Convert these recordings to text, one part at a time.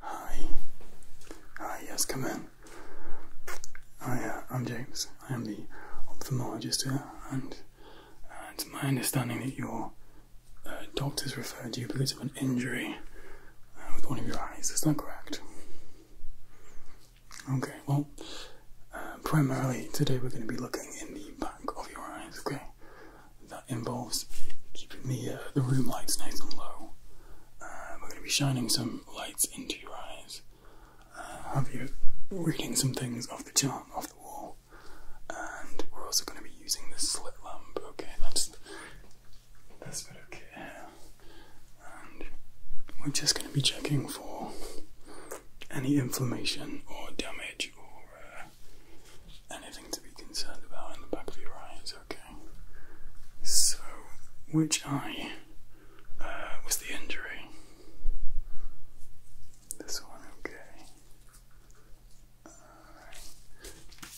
Hi. Hi, yes, come in. Hi, uh, I'm James. I am the ophthalmologist here, and uh, it's my understanding that your uh, doctors referred you because of an injury uh, with one of your eyes. Is that correct? Okay, well, uh, primarily today we're going to be looking in the back of your eyes, okay? that involves keeping the, uh, the room lights nice and low. Um, we're going to be shining some lights into your eyes, uh, have you reading some things off the chart, off the wall, and we're also going to be using the slit lamp. Okay, that's that's okay. And we're just going to be checking for any inflammation or damage or uh, anything to be concerned about in the back of your eyes, okay? So, which eye uh, was the injury? This one, okay. Alright.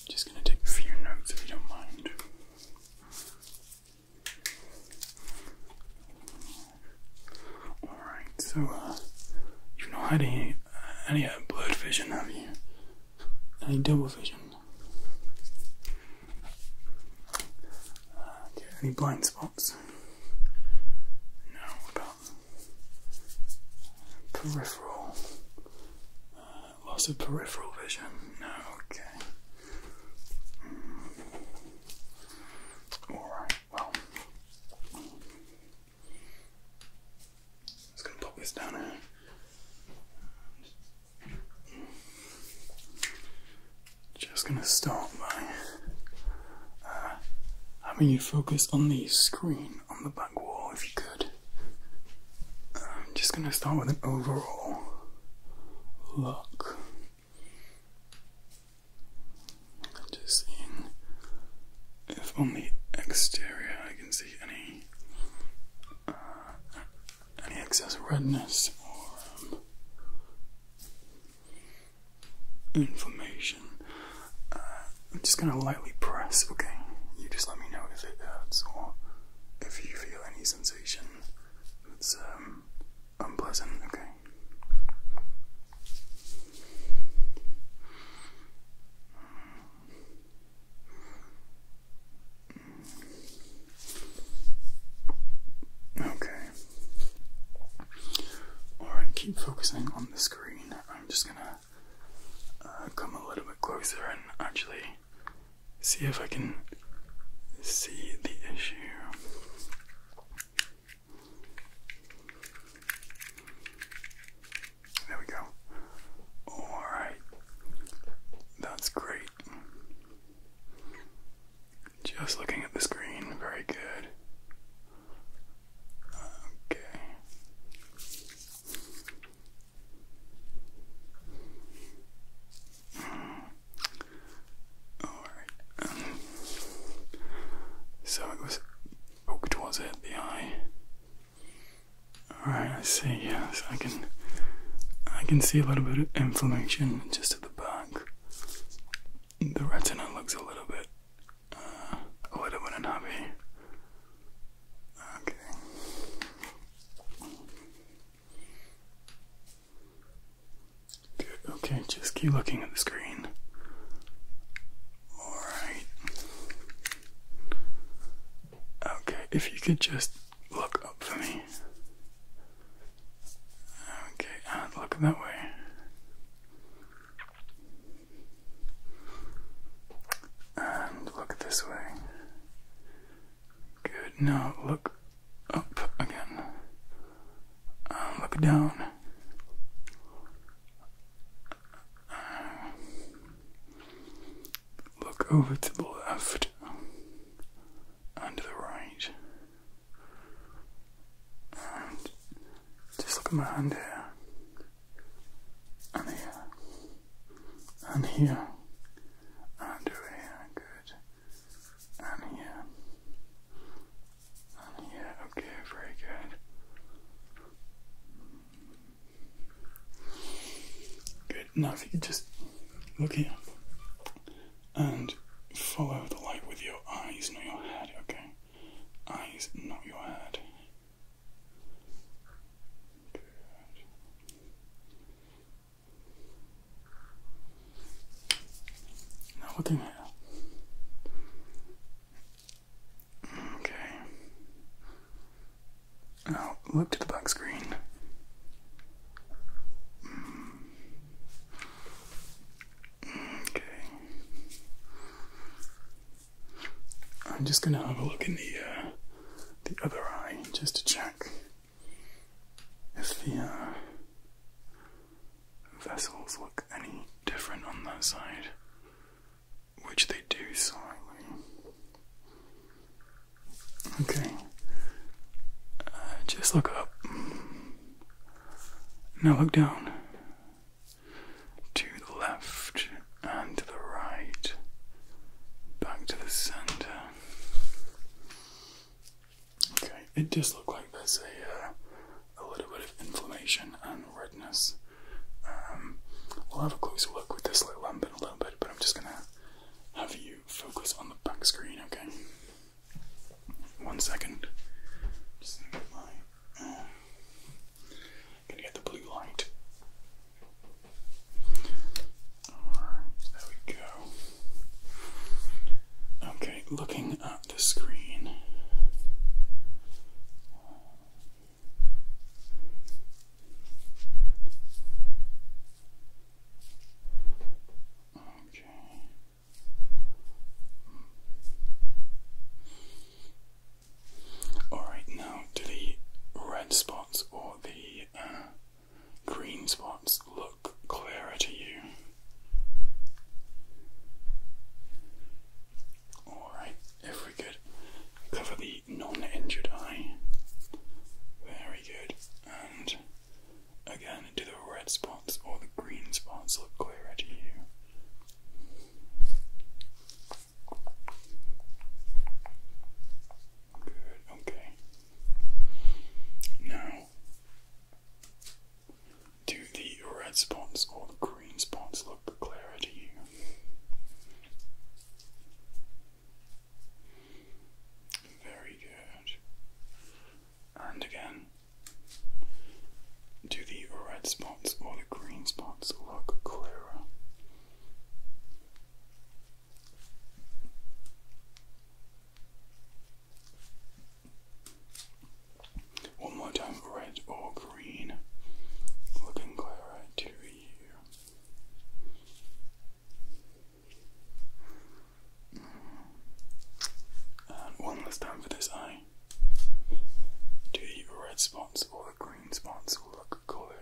Just gonna take a few notes if you don't mind. Alright, so uh, you've not had any, uh, any uh, blurred vision, have you? Any double vision. Uh, any blind spots? No, about peripheral? Uh, loss of peripheral vision? No, okay. Mm. Alright, well, just gonna pop this down here. Just gonna start by uh, having you focus on the screen on the back wall if you could. I'm um, just gonna start with an overall look. Just seeing if on the exterior can see any uh, any excess redness or um, inflammation. Uh, I'm just gonna lightly press. Okay, you just let me know if it hurts or if you feel any sensation that's um, unpleasant. Okay. Okay. Alright, keep focusing on the screen. I'm just gonna uh, come a little bit closer and actually see if I can see the issue. There we go. Alright. That's great. Just looking at the screen. Very good. Okay. Alright. so it was poked, was it? The eye? Alright, I see, yes, I can I can see a little bit of inflammation just at the back. The retina looks a little bit uh, a little bit unhappy. Okay. okay, just keep looking at the screen. Alright. Okay, if you could just look up for me. Okay, and look that way. And look this way. Good. Now look up again. look down. Look over to the left and the right. And just look at my hand here. And here. And here. And here. Good. And here. And here. Okay, very good. Good. enough. if you just look here and follow the light with your eyes, not your head, okay? Eyes, not your head. Good. Now, looking here. Okay. Now look to the back screen. Okay. I'm just gonna have a look in the uh, the other eye just to check if the uh, vessels look any different on that side which they do slightly. Okay, uh, just look up. Now look down. To the left and to the right. Back to the center. Okay, it does look like there's a, uh, a little bit of inflammation and redness um, we'll have a closer look with this little lamp in a little bit, but I'm just gonna have you focus on the back screen, okay? One second. Just get my. Uh, gonna get the blue light. Alright, there we go. Okay, looking at the screen. Okay. Alright, now do the red spots or the uh, green spots look clearer to you? Alright, if we could cover the non-injured eye. Very good. And again, do the red spots or the green spots look clearer to you? Good, okay. Now, do the red spots or the green spots look clearer to you? Very good. And again, do the red spots or the green spots look clearer? One more time, red or green, looking clearer to one last time for this eye. Do the red spots or the green spots look clearer?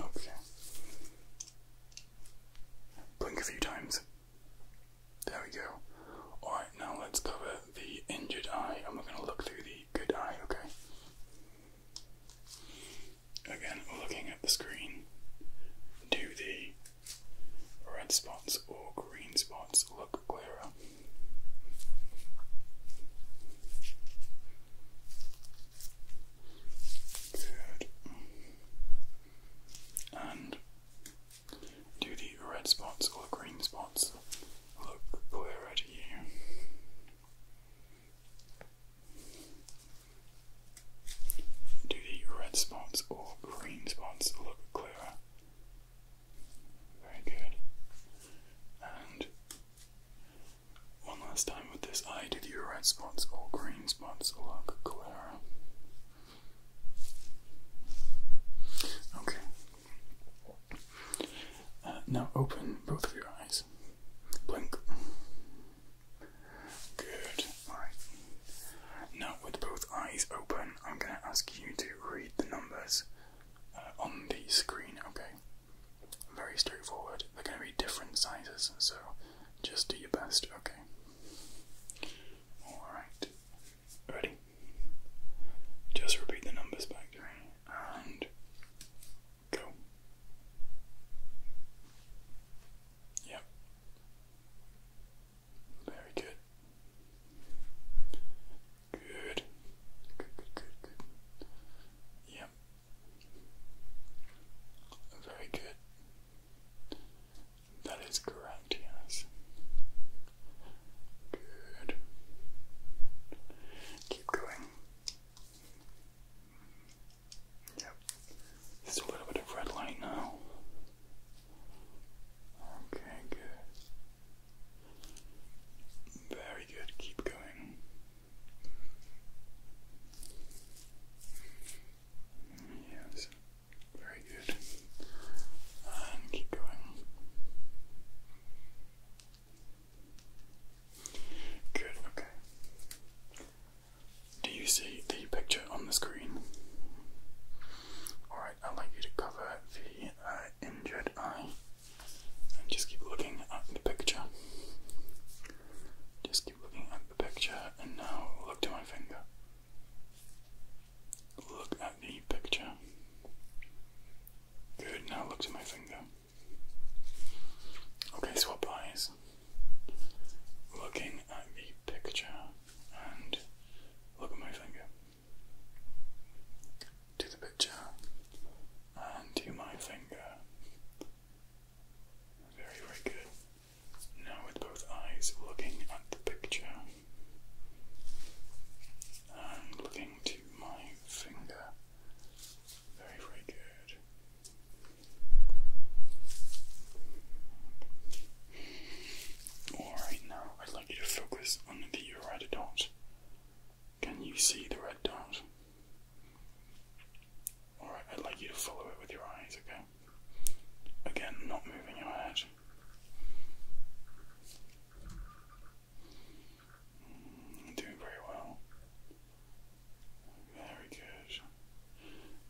Okay. Blink a few times. There we go. Alright, now let's cover the injured eye and we're going to look through the good eye, okay? Again, looking at the screen, do the red spots or green spots look clearer? Good. And do the red spots or green spots look clearer to Do the red spots or green spots look clearer? Very good. And one last time with this eye, do the red spots or green spots look clearer? Okay, uh, now open both of your eyes. Blink. Good. Alright. Now, with both eyes open, I'm going to ask you to read the numbers uh, on the screen, okay? Very straightforward. They're going to be different sizes, so just do your best, okay? Alright. Ready? Just repeat the numbers back to me and go. Yep. Very good. Good. Good, good, good, Yep. Very good. That is correct, yes. Good. Keep going. Yep. Just a little bit of red light now. Okay, good. Very good. Keep going. Yes. Very good. And keep going. Good, okay. Do you see the picture on the screen? Alright, I'd like you to cover the uh, injured eye and just keep looking at the picture. Just keep looking at the picture and now look to my finger. Look at the picture. Good, now look to my finger. Okay, swap eyes. Looking at the picture and look at my finger. To the picture and to my finger. Very, very good. Now, with both eyes looking at the picture looking to my finger. Very, very good. Alright, now I'd like you to focus on the red dot. Can you see the red dot? Alright, I'd like you to follow it with your eyes, okay? Again, not moving your head. Doing very well. Very good.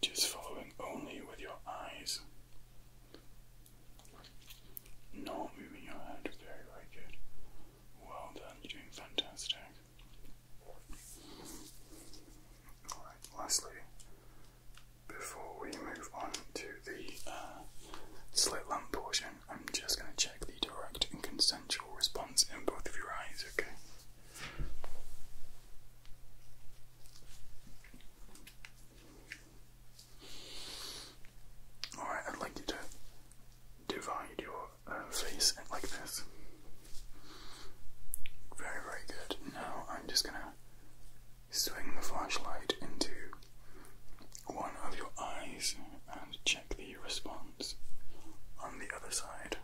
Just following only with your eyes. Not moving your head. Very, very good. Well done. You're doing fantastic. Alright, lastly, before we move on to the uh, slit lamp portion, I'm just going to check the direct and consensual response in both of your eyes, okay? Alright, I'd like you to divide your uh, face like this. Very, very good. Now I'm just gonna swing the flashlight into one of your eyes and check the response on the other side.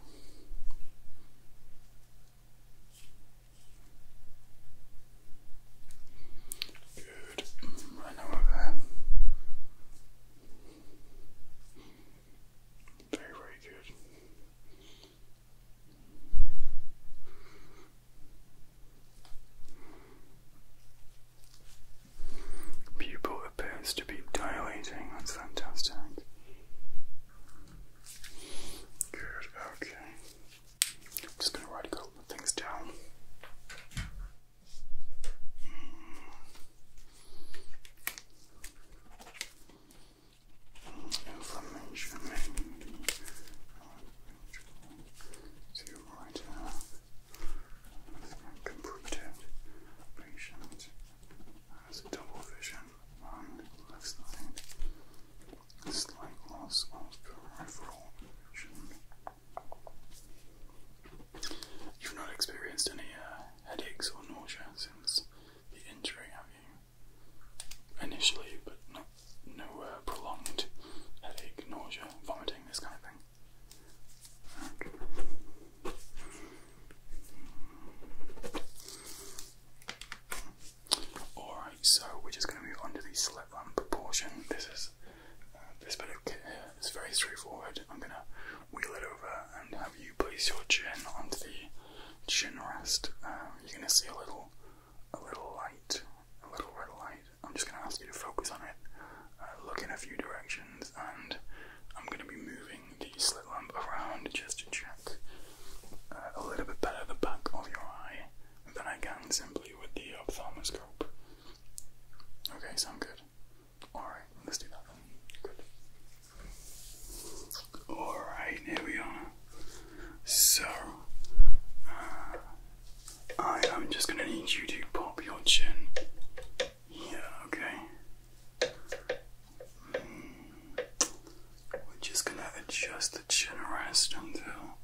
Good. Right now over there. Very, very good. Pupil appears to be dilating, that's fantastic. Good, okay. I'm just going to write a couple of things down. Hmm to right up patient has double vision on left side, slight loss of peripheral vision. You've not experienced any uh, headaches or nausea since the injury, have you? Initially, but not no uh, prolonged headache, nausea, vomiting, this kind of thing. Mm. Alright, so we're just going to move on to the slit lamp portion. This is uh, this bit of very straightforward. I'm going to wheel it over and have you place your chin onto the chin rest. Um, you're going to see a little a little light, a little red light. I'm just going to ask you to focus on it, uh, look in a few directions, and I'm going to be moving the slit lamp around just to check uh, a little bit better the back of your eye than I can simply with the ophthalmoscope. Okay, sound good. Alright, let's do that Good. Alright, here we are. So, uh, I am just going to need you to pop your chin here, okay? Hmm. We're just going to adjust the chin rest until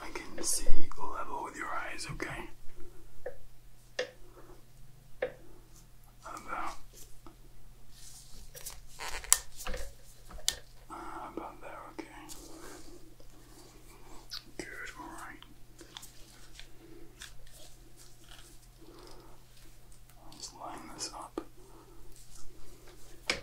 I can see level with your eyes, okay? About, ah, about there, okay. Good, all right. I'll line this up. Okay.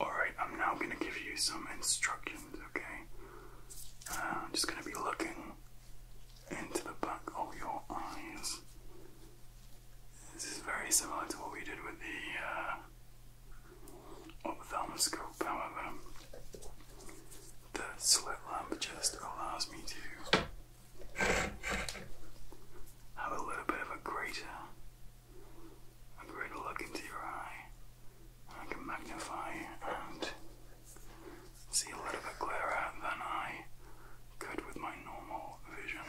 Alright, I'm now going to give you some instructions, okay? Uh, I'm just going to be looking into the back of your eyes. This is very similar to what we did with the uh, ophthalmoscope, however, the slit lamp just allows me to have a little bit of a greater, a greater look into your eye. I can magnify and see a little bit clearer than I could with my normal vision.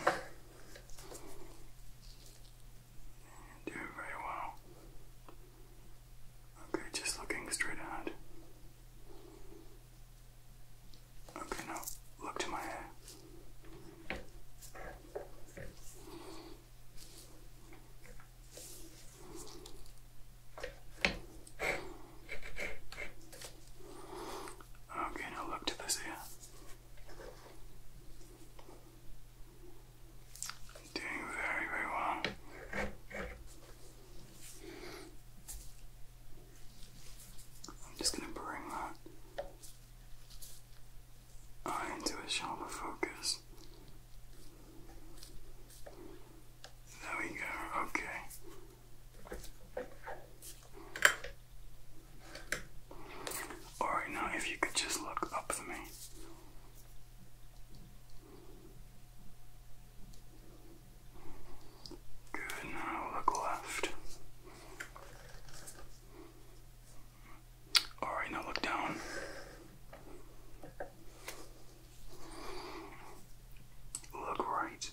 You're doing very well. Okay, just looking straight ahead. Okay, now look to my Okay, now look to this ear. Doing very, very well. I'm just going to bring that eye into a sharper focus. There we go, okay. Alright, now if you could just look up for me. Good, now look left. Alright, now look down. Look right.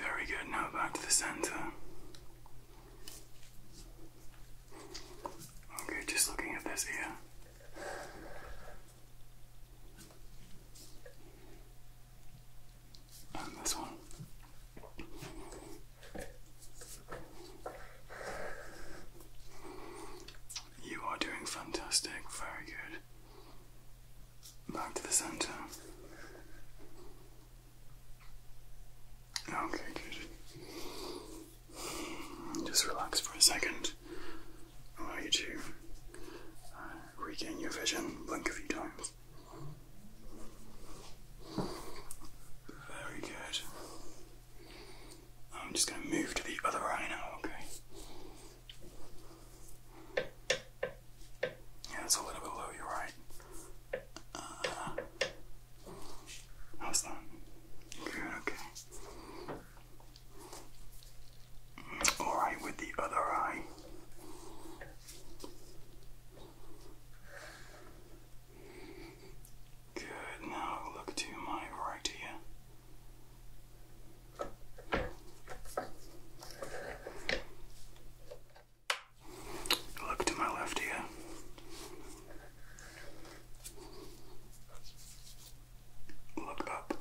Very good, now back to the center. Okay, just looking at this ear. And this one. You are doing fantastic. Very good. Back to the center. Okay, good. Just relax for a second. Allow you to uh, regain your vision. Blink a few times. Very good. I'm just going to move to the other eye now, okay? Yeah, that's a little bit low, you're how's uh, that? Good, okay. Alright, with the other eye. Good, now look to my right here. Look to my left here. Look up.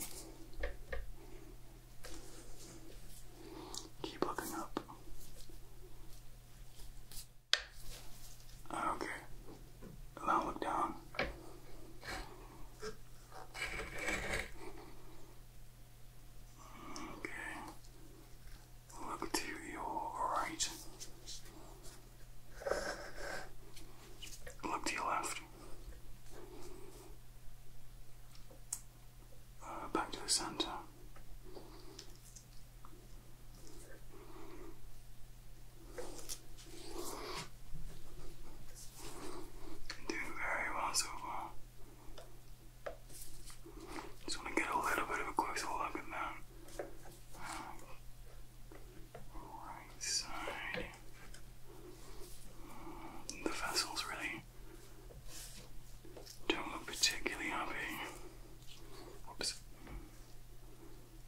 Keep looking up. Okay, and i look down. Okay. Look to your right. Look to your left. Uh, back to the center. Doing very well so far. Just want to get a little bit of a closer look at that. Right side. The vessels really don't look particularly happy. Oops.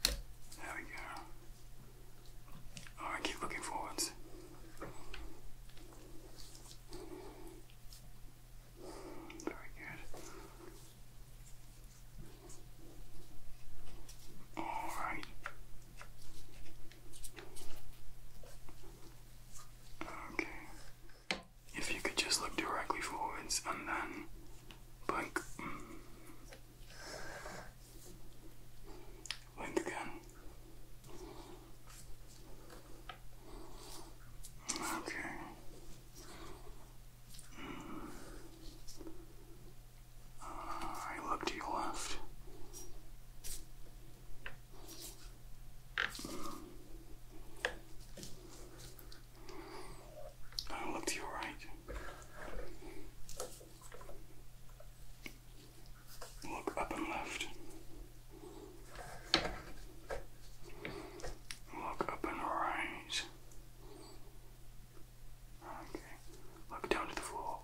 There we go. Alright, keep looking forwards. Very good. Alright. Okay. If you could just look directly forwards and then blink. Blink again. Okay. Uh, I look to your left. I look to your right. Look up and left. Look up and right. Okay. Look down to the floor.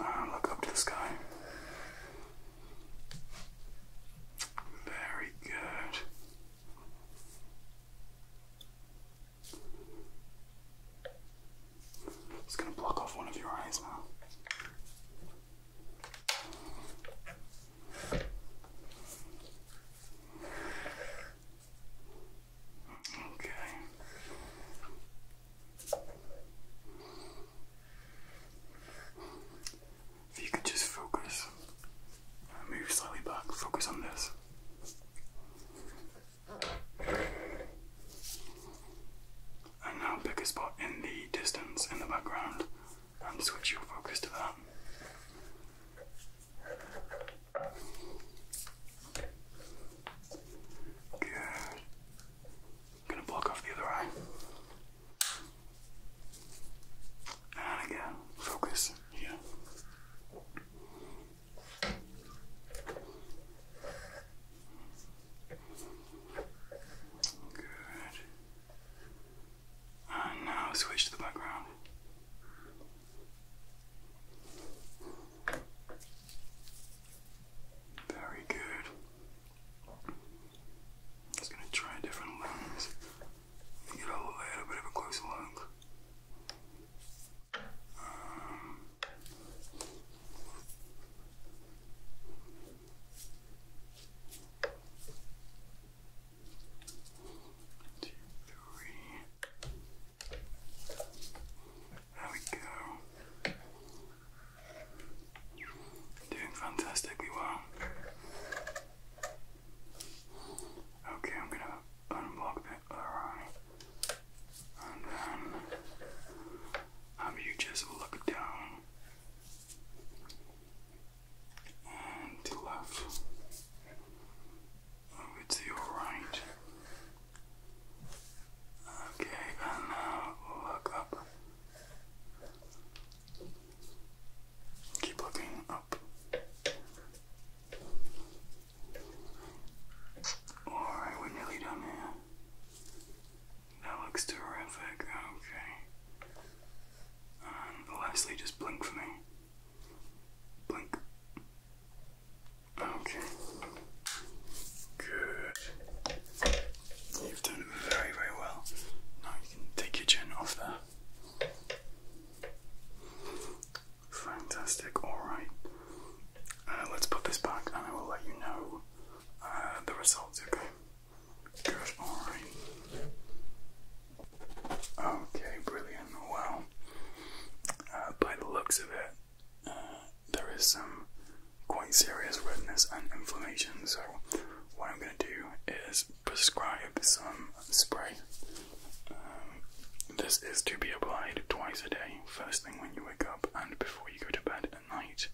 Uh, look up to the sky. Very good. It's going to block off one of your eyes now. Okay. If you could just focus, move slightly back, focus on this. And now pick a spot in the distance, in the background, and switch your focus to that. Good. gonna block off the other eye. And again, focus here. Good. And now switch to the background. Very good. I'm just going to try a different lens you know, I had a bit of a closer look. Um, two, three. There we go. Doing fantastically well. Okay, I'm gonna unblock the other eye. And then have you just look down and left. Over oh, to your right. Okay, and now look up. Keep looking up. Alright, we're nearly done here. That looks terrific. Okay. And lastly, just blink for me. Blink. Okay. Good. You've done very, very well. Now you can take your chin off there. Fantastic, alright. Uh, let's put this back and I will let you know uh, the results, okay? Good, alright. Okay, brilliant. Well, uh, by the looks of it, there is some quite serious redness and inflammation, so what I'm going to do is Prescribe some spray. Um, this is to be applied twice a day, first thing when you wake up and before you go to bed at night.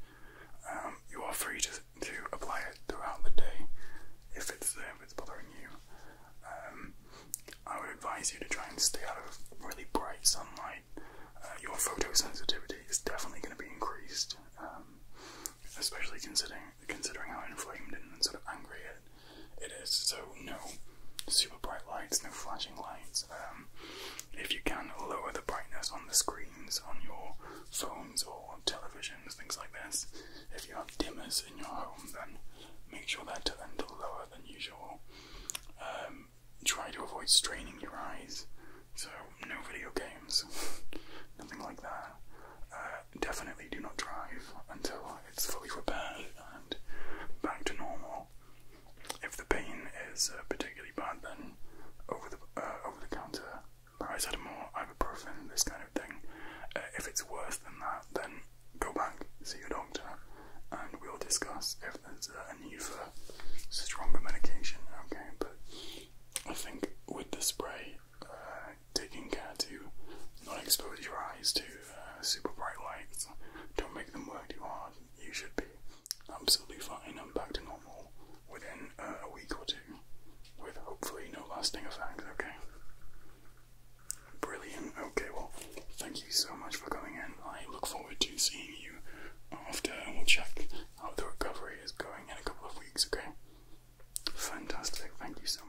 Um, you are free to, to apply it throughout the day if it's if it's bothering you. Um, I would advise you to try and stay out of really bright sunlight. Uh, your photosensitivity is definitely going to be increased, especially considering considering how inflamed and sort of angry it, it is. So no super bright lights, no flashing lights. Um, if you can, lower the brightness on the screens on your phones or televisions, things like this. If you have dimmers in your home, then make sure they're turned lower than usual. Um, try to avoid straining your eyes, so no video games, nothing like that. Uh, definitely do not drive until it's fully repaired and back to normal. If the pain is uh, particularly bad, then over the uh, over the counter paracetamol, ibuprofen, this kind of thing. Uh, if it's worse than that, then go back, see your doctor, and we'll discuss if there's uh, a need for stronger medication. Okay, but I think with the spray, taking care to not expose your eyes to uh, super bright lights. Don't make them work too hard. You should be absolutely fine and back to normal within uh, a week or two, with hopefully no lasting effects, okay? Brilliant. Okay, well, thank you so much for coming in. I look forward to seeing you after, we'll check how the recovery is going in a couple of weeks, okay? Fantastic. Thank you so much.